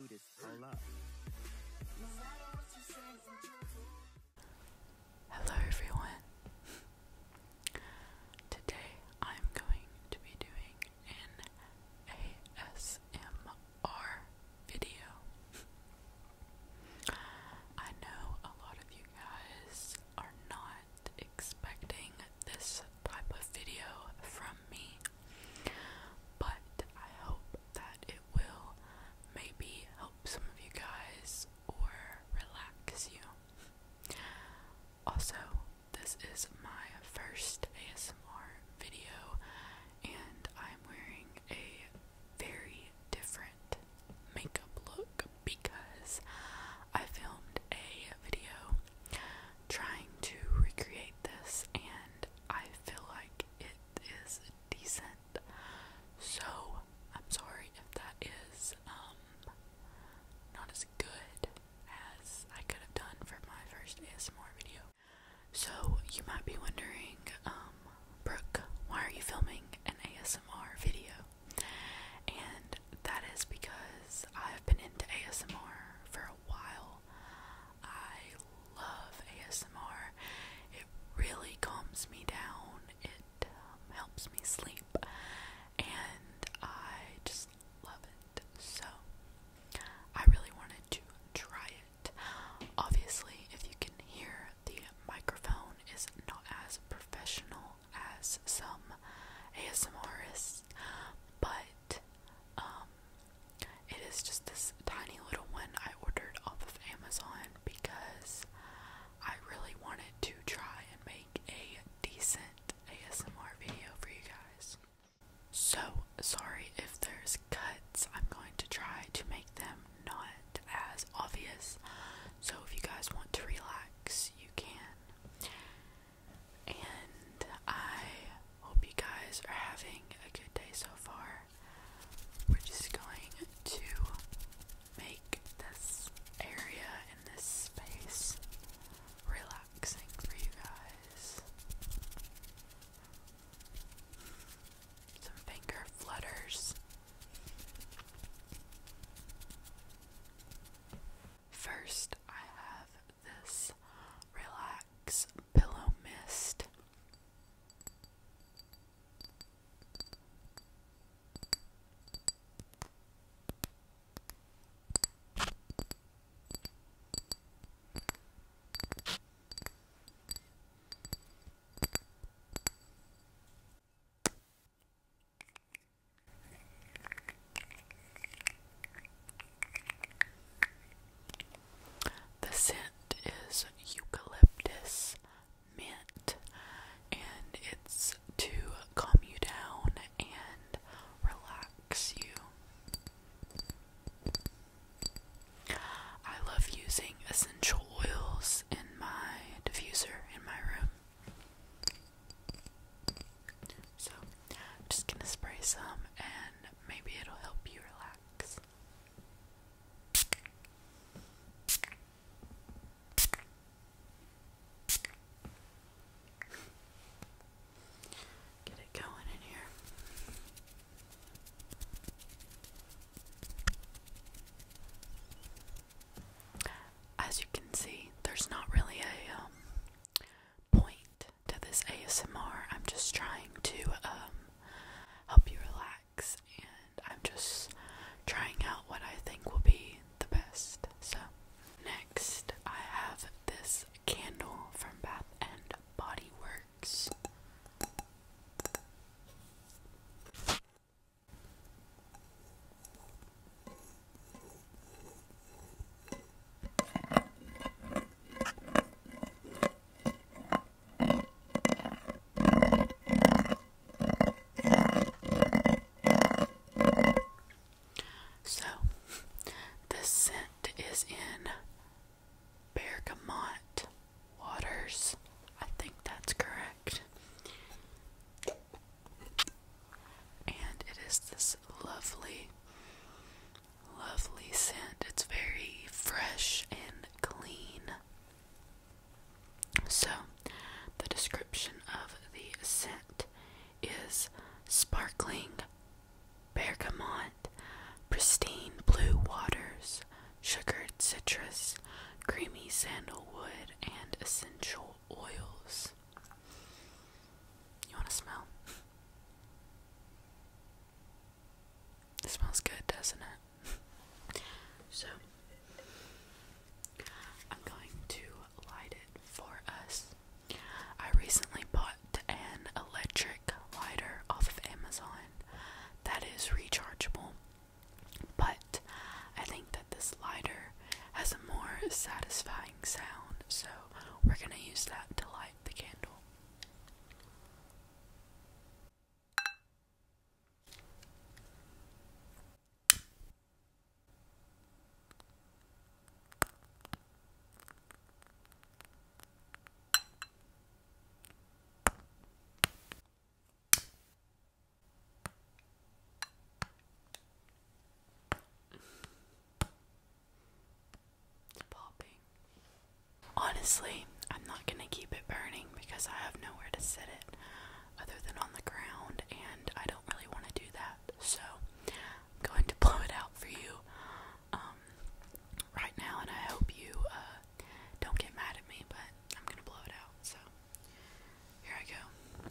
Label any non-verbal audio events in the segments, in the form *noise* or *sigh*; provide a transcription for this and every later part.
do Hello everyone. *laughs* Today I'm going to be doing an ASMR video. I know a lot of you guys are not expecting this type of video from me. But I hope that it will maybe help some of you guys or relax you. Also, this is my first ASMR video, and I'm wearing a very different makeup look because I filmed a video trying to recreate this, and I feel like it is decent. So I'm sorry if that is um not as good as I could have done for my first ASMR video. So you might be wondering, um, Brooke, why are you filming an ASMR video? And that is because I've been into ASMR for a while. I love ASMR. It really calms me down. It um, helps me sleep, and I just love it. So I really wanted to try it. Obviously, if you can hear, the microphone is not as professional as some ASMRs, but um, it is just this tiny little one I ordered off of Amazon because I really wanted to try and make a decent ASMR video for you guys. So, sorry if there's cuts, I'm going to try to make them not as obvious. So, if you guys want to relax, you can. And I hope you guys are having a good day so far. We're just going to make this area in this space relaxing for you guys. Some finger flutters. First, I have this relax pillow mist. The scent is eucalyptus mint, and it's to calm you down and relax you. I love using essential oils in my diffuser in my room. So, I'm just gonna spray some and maybe it'll help you relax. Get it going in here. As you can see, there's not really a um, point to this ASMR. I'm just trying to um, help you relax, and I'm just trying out what I think will be the best. So, next, I have this candle from Bath and Body Works. So, the scent is in bergamot waters. I think that's correct and it is this lovely, lovely scent. It's very fresh and clean. So, the description of the scent is sparkling bergamot, pristine blue waters, sugared citrus, creamy sandalwood, and essential oils. You want to smell? It smells good, doesn't it? so, I'm going to light it for us. I recently bought an electric lighter off of Amazon that is rechargeable, but I think that this lighter has a more satisfying sound, so we're going to use that to light the candle. Honestly, I'm not gonna keep it burning because I have nowhere to sit it other than on the ground, and I don't really want to do that. So I'm going to *laughs* blow it out for you um, right now, and I hope you uh, don't get mad at me, but I'm gonna blow it out. So here I go.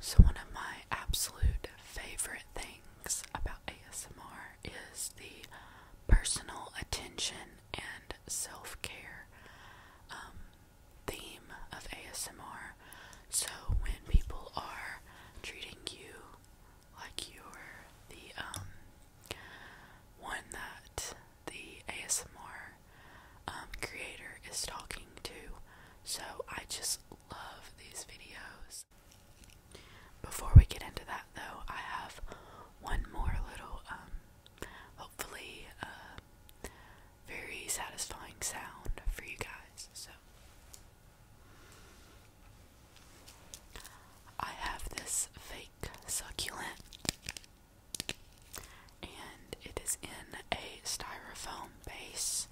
So, one of my absolute favorite things about ASMR is the personal attention and self care um, theme of ASMR. So, when people are treating you like you're the um, one that the ASMR um, creator is talking to. So I just love these videos. Before we get into that, though, I have one more little, um, hopefully, uh, very satisfying sound for you guys. So I have this fake succulent and it is in a styrofoam base.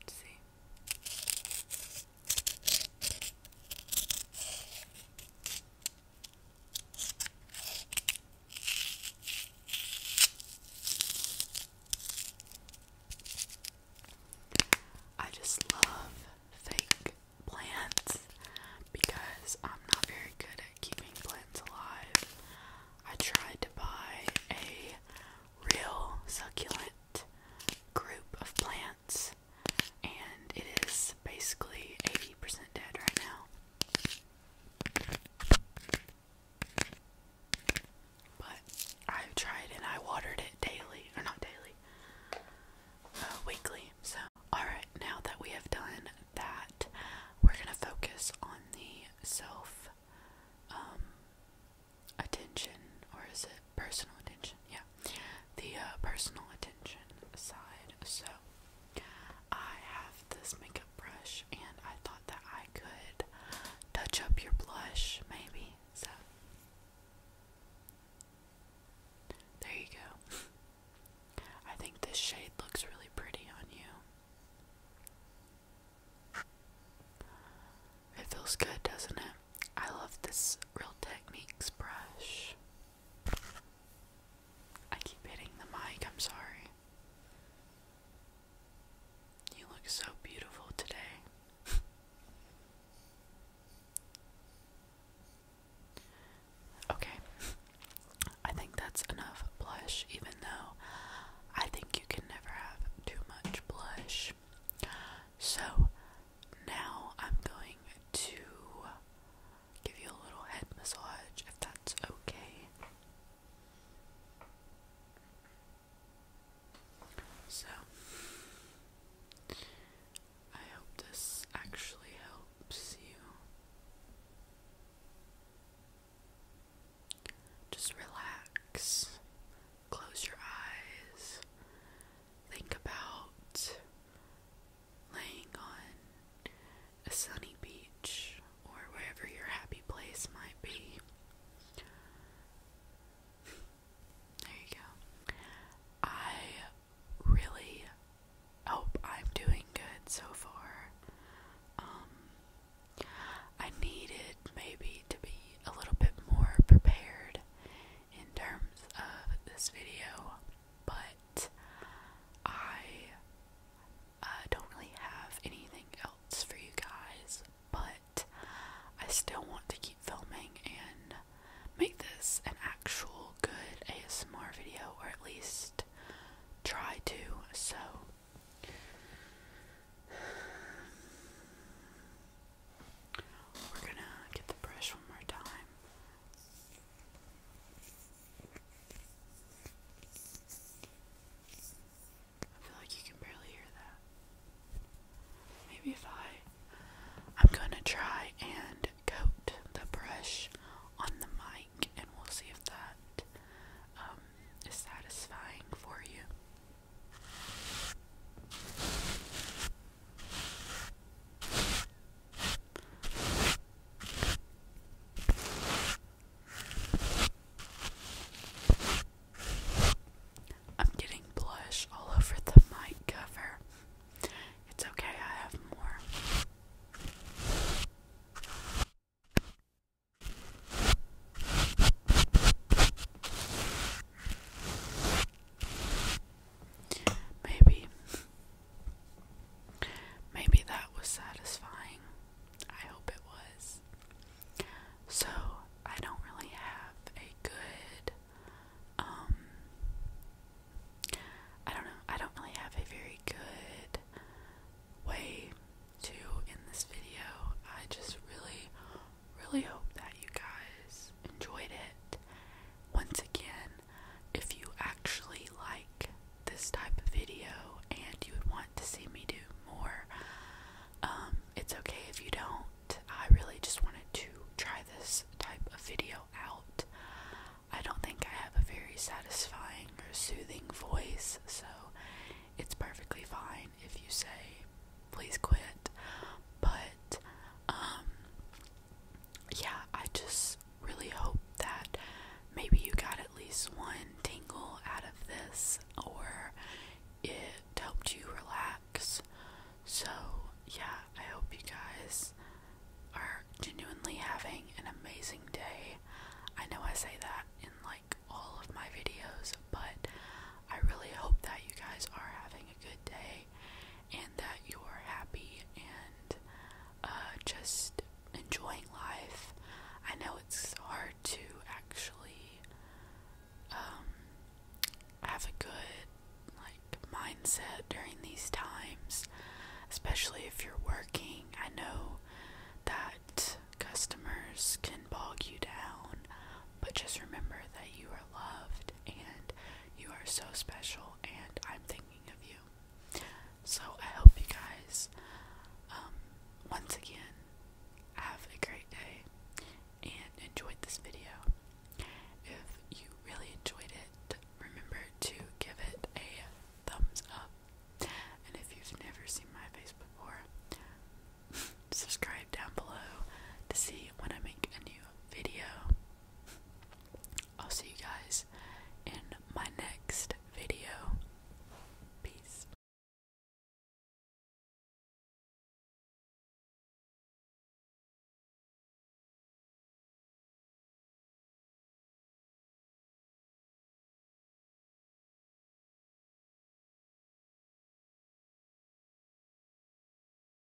Let's see. I just love fake plants because I'm not very good at keeping plants alive. I tried to buy a real succulent group of plants, and it is basically 80% dead right now. But I've tried and I watered it daily, or not daily, uh, weekly. So, alright, now that we have done that, we're gonna focus on the self um, attention, or is it personal attention? Yeah, the uh, personal attention side. So, I have this makeup brush and I thought that I could touch up your blush maybe. So there you go. *laughs* I think this shade looks really pretty on you. It feels good, doesn't it? I love this Real Techniques brush. I keep hitting the mic, I'm sorry. You look so beautiful today. *laughs* okay. I think that's enough blush, even though I think you can never have too much blush. So now I'm going to give you a little head massage if that's okay. So, I hope this actually helps you just relax, close your eyes, think about laying on a sunny beach or wherever your happy place might be. There you go. I really hope I'm doing good so far. Um, I needed maybe to be a little bit more prepared in terms of this video, but I uh, don't really have anything else for you guys, but I still want to keep filming and make this an actual good ASMR video, or at least try to. So, we're gonna get the brush one more time. I feel like you can barely hear that. Maybe if I. I'm gonna try and coat the brush on the mic and we'll see if that um, is satisfying for you. I'm getting blush all over the mic cover. It's okay, I have more. Maybe Maybe that was satisfying. I hope it was. So, I don't really have a good, um, I don't know, I don't really have a very good way to end this video. I just really, really hope that you guys enjoyed it. Once again, if you actually like this type of video and you would want to see me do more, um, it's okay if you don't. I really just wanted to try this type of video out. I don't think I have a very satisfying or soothing voice, so it's perfectly fine if you say, please quit. But, um, yeah, I just really hope that maybe you got at least one tingle out of this or it helped you relax. So, yeah, I hope you guys are genuinely having an amazing day. I know I say that in like all of my videos, but I really hope that you guys are having a good day and that you are happy and uh, just enjoying life. I know it's hard to actually um, have a good like mindset during these times, especially if you're working. I know that customers can bog you down, but just remember that you are loved and you are so special and I'm thinking of you. So I hope you guys um once again have a great day and enjoyed this video. If you really enjoyed it, remember to give it a thumbs up. And if you've never seen my face before, *laughs* subscribe down below to see when I make a new video. I'll see you guys in my next video. Peace.